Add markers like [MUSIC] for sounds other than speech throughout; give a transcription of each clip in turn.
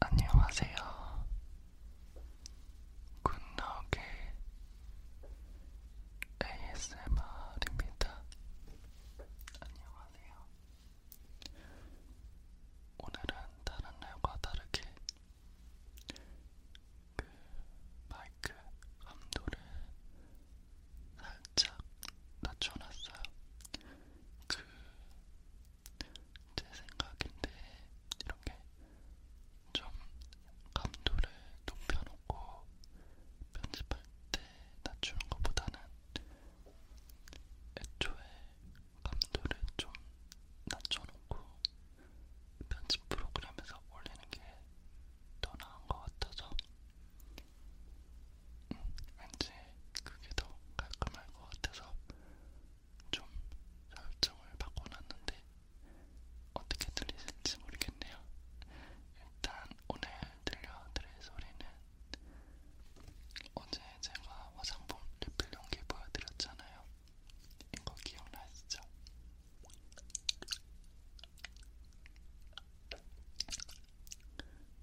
안녕하세요. 굿나오게 ASMR입니다. 안녕하세요. 오늘은 다른 날과 다르게 그 마이크 감도를 살짝 낮춰놨어요. 그 제 생각인데 이렇게 좀 감도를 높여놓고 편집할 때 낮추는 것보다는 애초에 감도를 좀 낮춰놓고 편집 프로그램에서 올리는 게 더 나은 것 같아서 왠지 그게 더 깔끔할 것 같아서 좀 설정을 바꿔놨는데 어떻게 들리실지 모르겠네요. 일단 오늘 들려드릴 소리는 어제 제가 화장품 리필 용기 보여드렸잖아요. 이거 기억나시죠?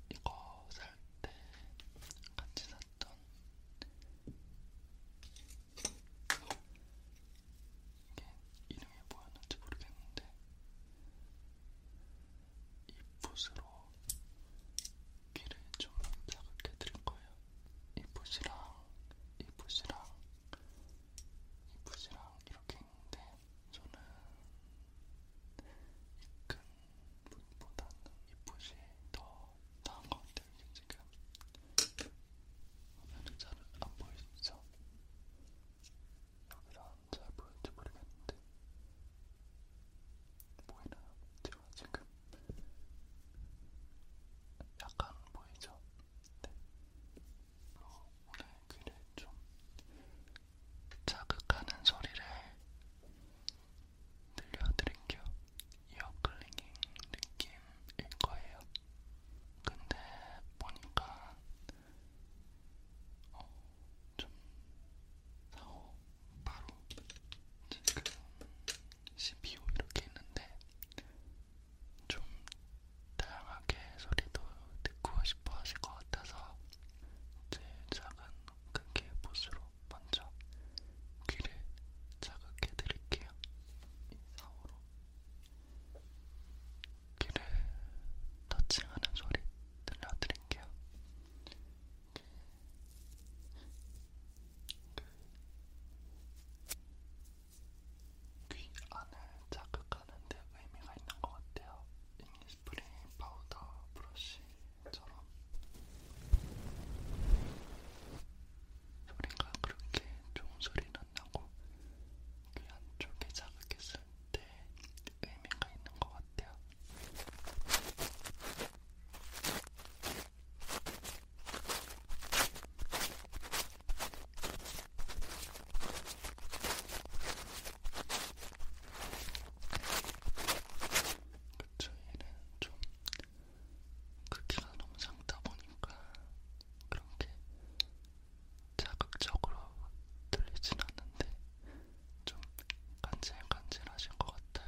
이거 살 때 같이 샀던 이게 이름이 뭐였는지 모르겠는데 이 붓으로 귀를 좀 자극해 드릴 거예요. 이 붓이랑 이 붓이랑 이 붓이랑 이렇게 텐데 저는 이큰 붓보다는 이붓이 더 나은 것 같아요. 지금 화면이 잘안 보이시죠? 여기서 잘 보일지 모르겠는데 보이나요? 제가 지금 약간 보이죠? 네. 오늘 글을 좀 자극하는 소리를 들려드릴게요. 이어 클리닝 느낌일 거예요. 근데 보니까 어, 좀 사오 바로 지금 12호 이렇게 있는데 좀 다양하게 소리도 듣고 싶어 하실 것 같아서 제 작은 크기의 붓으로 먼저 귀를 자극해 드릴게요. 사우로 귀를 터칭하는 소리 들려드릴게요. 귀 안을 자극하는 가는데 의미가 있는 것 같아요. 잉스프링 파우더 브러쉬처럼 소리가 그렇게 좋은 소리는 나고 귀 안쪽에 자극했을 때 의미가 있는 것 같아요. 그쵸, 얘는 좀 크기가 너무 작다 보니까 그렇게 자극적으로 들리진 않는데 좀 간질간질하신 것 같아요.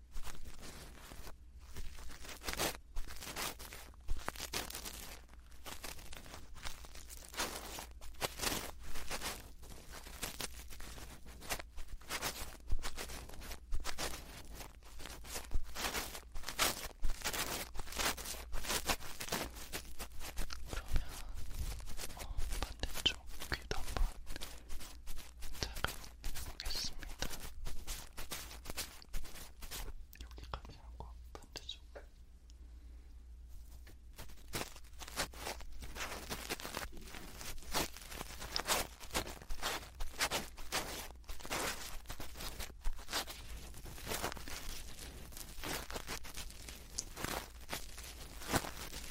그러면 어, 반대쪽 귀도 한번 보겠습니다. 여기까지 하고 반대쪽.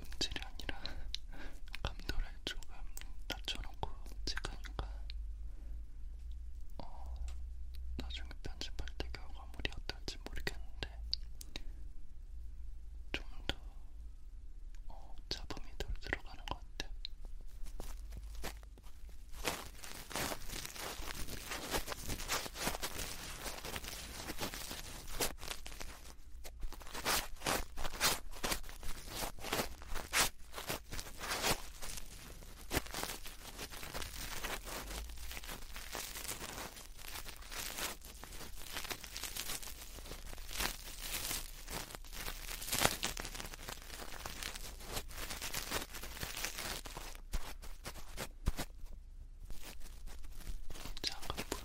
음질이 아니라 감도를 조금 낮춰놓고 찍으니까 어, 나중에 편집할 때 결과물이 어떨지 모르겠는데 좀더 어, 잡음이 덜 들어가는 것 같아. 작은 붓으로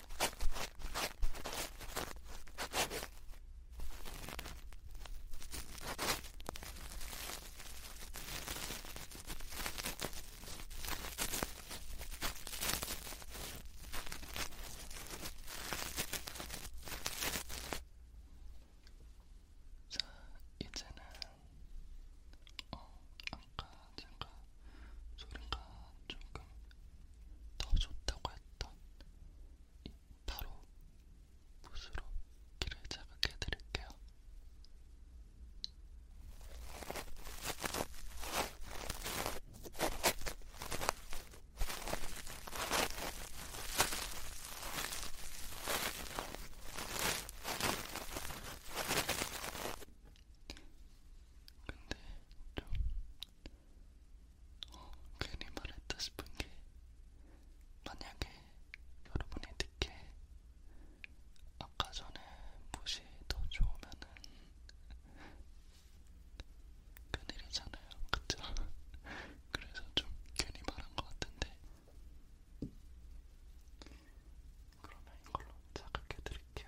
자, 이제는 어, 아까 제가 소리가 조금 더 좋다고 했던 바로 붓으로 귀를 자극해 드릴게요. 근데 좀 어, 괜히 말했다 싶은 게 만약에 여러분이 듣게 아까 전에 무시 더 좋으면은 큰일이잖아요, 그쵸? [LAUGHS] 그래서 좀 괜히 말한 것 같은데 그러면 이걸로 자극해 드릴게요.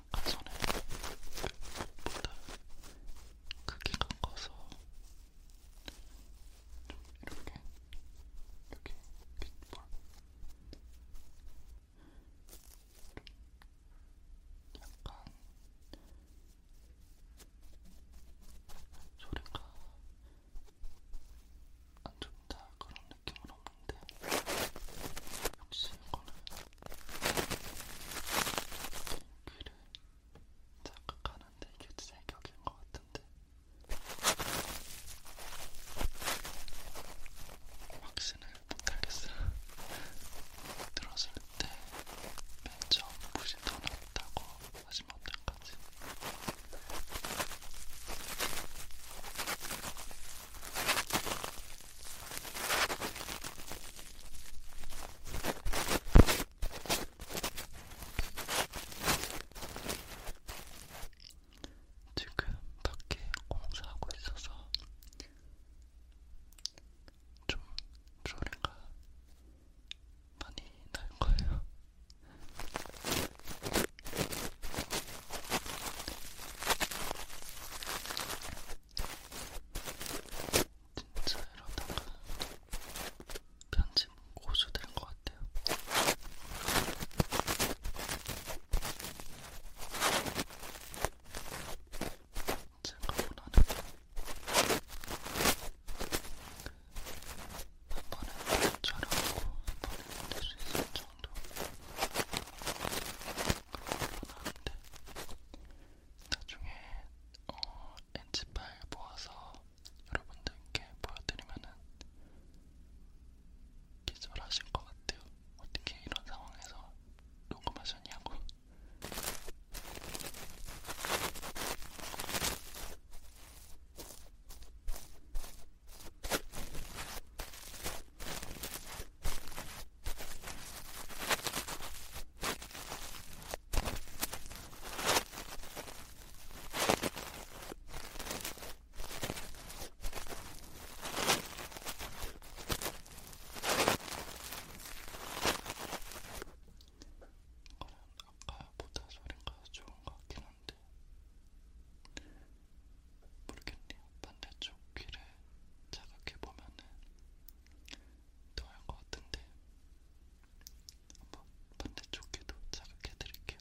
아까 전에 그보다 크기가 커서 좀 이렇게 여기 빗볼 약간 소리가 안 좋다 그런 느낌은 없는데 역시 이거는 글을 자극하는데 이게 제격인 것 같은데 확신을 못하겠어요. 들었을 때맨 처음 붓이 더 낫다고 하시면 어떨까지 지금 밖에 공사하고 있어서 좀 소리가 많이 날 거예요. 진짜 이러다가 편집 고수 된것 같아요. 제가 원하는 게한 번에 촬영하고 한 번에 만들 수 있을 정도 그런 걸 원하는데 나중에 어, 엔지 파일 모아서 여러분들께 보여드리면은 기절하실 것 같아요. 어떻게 이런 상황에서 녹음하셨냐고. 아까보다 소리가 좋은 것 같긴 한데 모르겠네요. 반대쪽 귀를 자각해 보면은 더할것 같은데 한번 반대쪽 귀도 자극해 드릴게요.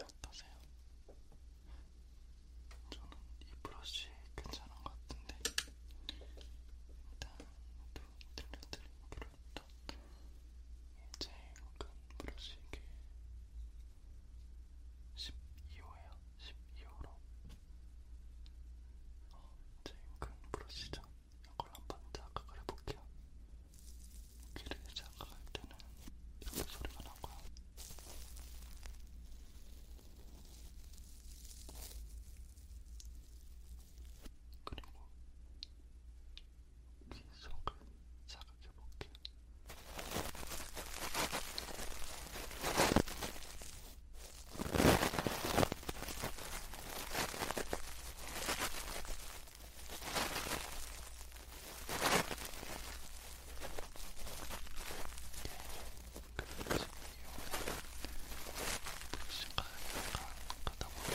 어떠세요? 저는 이 브러쉬 괜찮은 것 같은데 일단 또 들려드린 브러쉬 일단 이제 약간 브러쉬기 12호에요. 12호로 어, 이제 큰 브러쉬죠. 이걸 한번 자각을 해볼게요. 귀를 자각할 때는 이렇게 소리가 나고요. 그리고 민속을 자극해볼게요. 그렇지, 이용해. 시간이 가다 보니까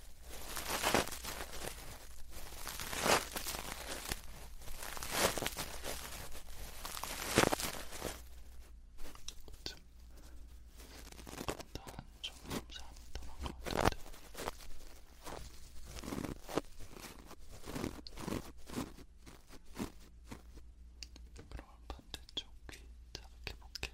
그러면 반대쪽 귀 자극해볼게요.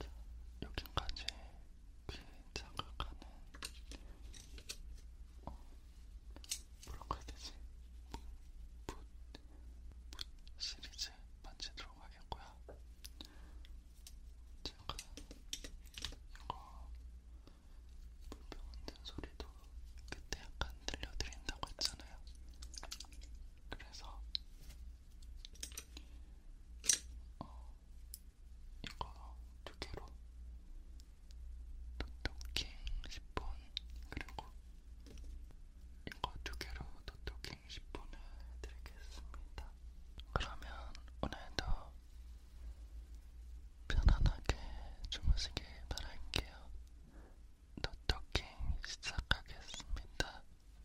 자, 여기까지 귀 자극하는 어, 뭐라고 해야 되지? 붓, 붓 시리즈 만지도록 하겠고요. 제가 이거 물병 흔든 소리도 그때 약간 들려드린다고 했잖아요. 그래서 어, 이거 두 개로 도토킹 10분 그리고 이거 두 개로 도토킹 10분을 드리겠습니다. 그러면 오늘도 편안하게 주무시길 바랄게요. 도토킹 시작하겠습니다.